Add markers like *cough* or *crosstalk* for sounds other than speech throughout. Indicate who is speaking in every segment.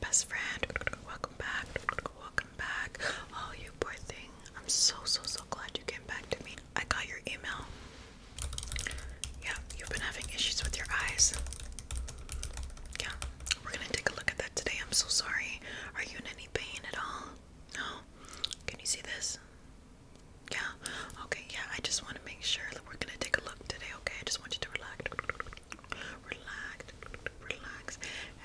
Speaker 1: Best friend, welcome back. Welcome back. Oh, you poor thing. I'm so, so, so glad you came back to me. I got your email. Yeah, you've been having issues with your eyes. Yeah, we're gonna take a look at that today. I'm so sorry. Are you in any pain at all? No? Can you see this? Yeah, Okay, yeah, I just want to make sure that we're gonna take a look today, okay? I just want you to relax. Relax, relax.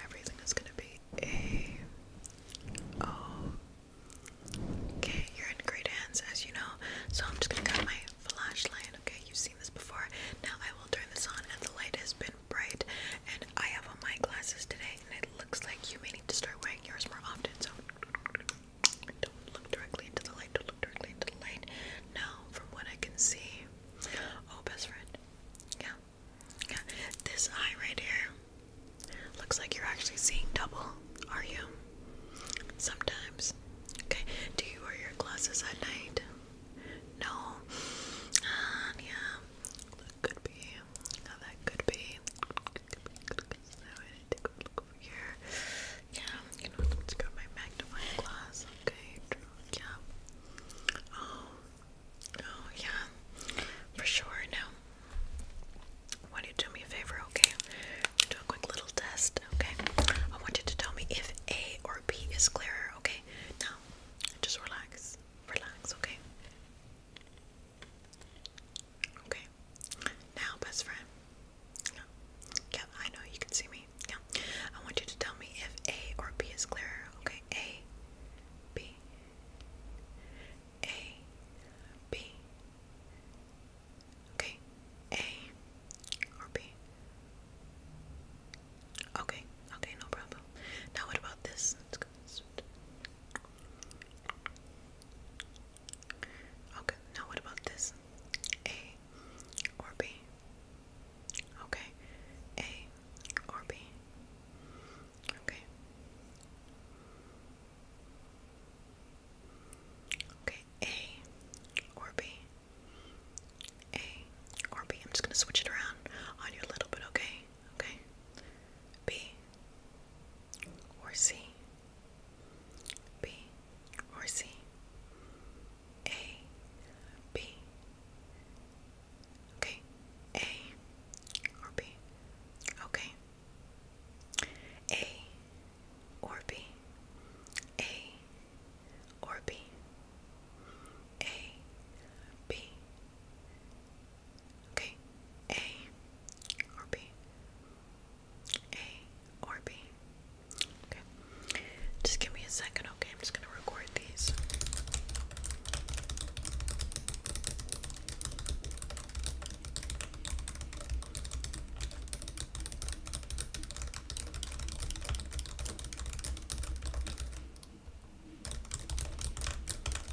Speaker 1: Everything is gonna be a oh. Okay, you're in great hands as you know. So I'm just gonna grab my flashlight, okay? You've seen this before. Now I will turn this on and the light has been bright and I have on my glasses today and it looks like you may need to start wearing yours more often, so don't look directly into the light. Don't look directly into the light. Now, from what I can see, oh, best friend, yeah, yeah. This eye right here looks like you're actually seeing double. Are you? Sometimes. Okay. Do you wear your glasses at night? No. yeah. could be. Now that could be. look over here. Yeah, you know, let's go right back to my class, okay? Yeah. Oh, oh, yeah, for sure. Now, why don't you do me a favor, okay? do a quick little test, okay? I want you to tell me if A or B is clearer, okay? Now, just relax, relax, okay? Okay. Now, best friend, yeah, I know you can see me. Yeah. I want you to tell me if A or B is clearer. Okay, A, B, A, B. Okay, A or B. Okay, okay, no problem. Now what about this? Okay, now what about this? A or B? Okay, A or B? Okay. Okay, A or B? A or B? I'm just gonna switch it around on you a little bit, okay? Okay. B or C? B or C? A, B. Okay, A or B. Okay. A or B. A or B. A, B. Okay. A or B. A or B? Okay. Just give me a second, okay? I'm just going to record these.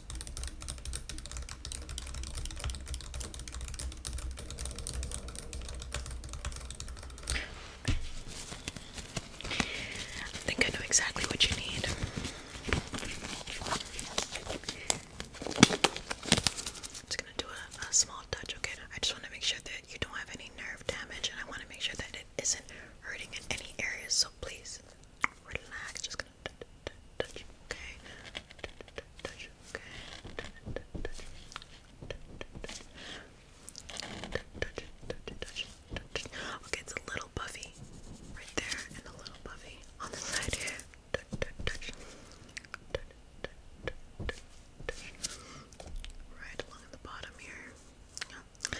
Speaker 1: I think I know exactly what you need. I'm just gonna do a, small touch, okay? I just want to make sure that you don't have any nerve damage, and I want to make sure that it isn't hurting in any areas. So please relax. Just touch, okay. Touch, okay. Okay, it's a little puffy right there and a little puffy on the side here. Right along the bottom here.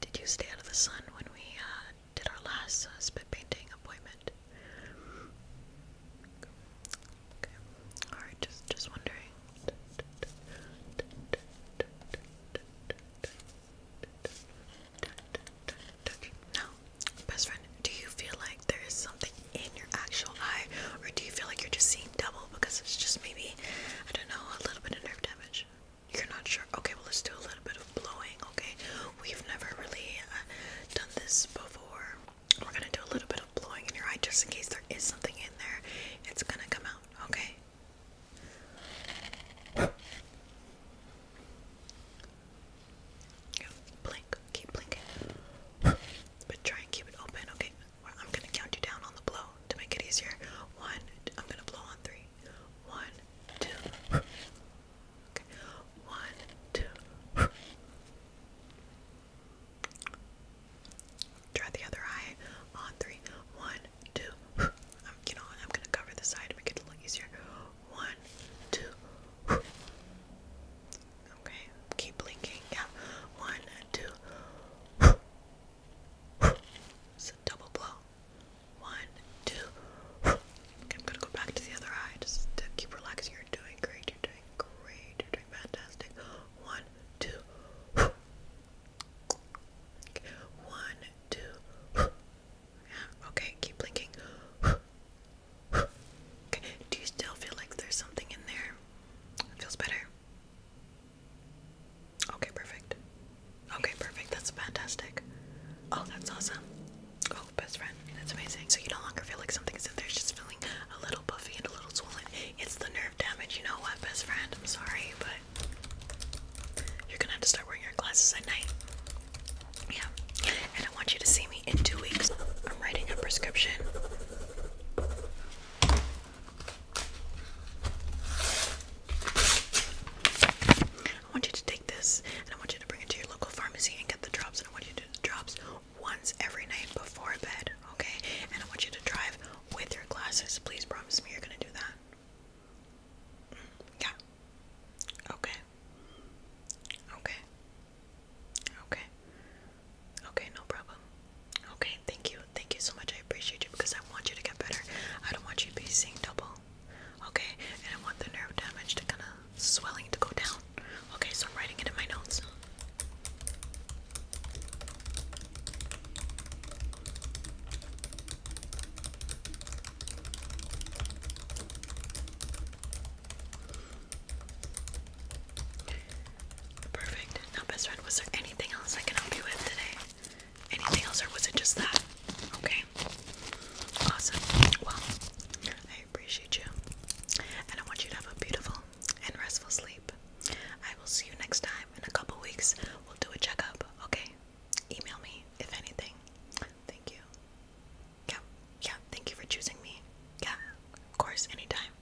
Speaker 1: Did you stay out of the sun when we uh, did our last uh, spit painting appointment. Okay. All right. Just, just wondering. Now, best friend, do you feel like there is something in your actual eye, or do you feel like you're just seeing double because it's just maybe, I don't know, a little bit of nerve damage? You're not sure. Okay, well, let's do a little bit of blowing Okay, we've never really uh, done this before. We're gonna do a little bit of blowing in your eye just in case there is something in there. It's gonna come out, okay? blink, keep blinking. But try and keep it open, okay? I'm gonna count you down on the blow to make it easier. One, I'm gonna blow on three. One, two, one, two. Try the other eye on three. One, 2 you know, I'm gonna cover the side to make it a little easier. One, two. Okay. Keep blinking. Yeah. One, two. It's a double blow. One, two. *sighs* I'm gonna go back to the other eye just to keep relaxing. You're doing great. You're doing great. You're doing fantastic. One, two. *sighs* One, two. *sighs* Okay, keep blinking. Okay. Do you still feel like there's something in there? feels better. Okay, perfect. Okay, perfect. That's fantastic. Oh, that's awesome. Oh, best friend. That's amazing. So you no longer feel like something's in there. It's just feeling a little puffy and a little swollen. It's the nerve damage. You know what, best friend? I'm sorry, but you're gonna have to start wearing your glasses at night. Yeah. And I want you to see me in two weeks. I'm writing a prescription. I want you to take this and I want you to bring it to your local pharmacy and get the drops. And I want you to do the drops once every night before bed, okay? And I want you to drive with your glasses. Please promise me you're gonna do that. Mm, yeah. Okay. Okay. Okay. Okay, no problem. Okay, thank you. Thank you so much. I appreciate you because I want you to get better. I don't want you to be seeing double. Okay, and I want the nerve damage to kind of swelling to go down. Okay, so I'm writing it in my notes. Perfect. Now, best friend, was there anything else I can help you with today? anything else, or was it just that? Okay. Awesome. Well, I appreciate you. And I want you to have a beautiful and restful sleep. I will see you next time in a couple weeks. We'll do a checkup, okay? Email me if anything. Thank you. Yeah, yeah, thank you for choosing me. Yeah, of course, anytime.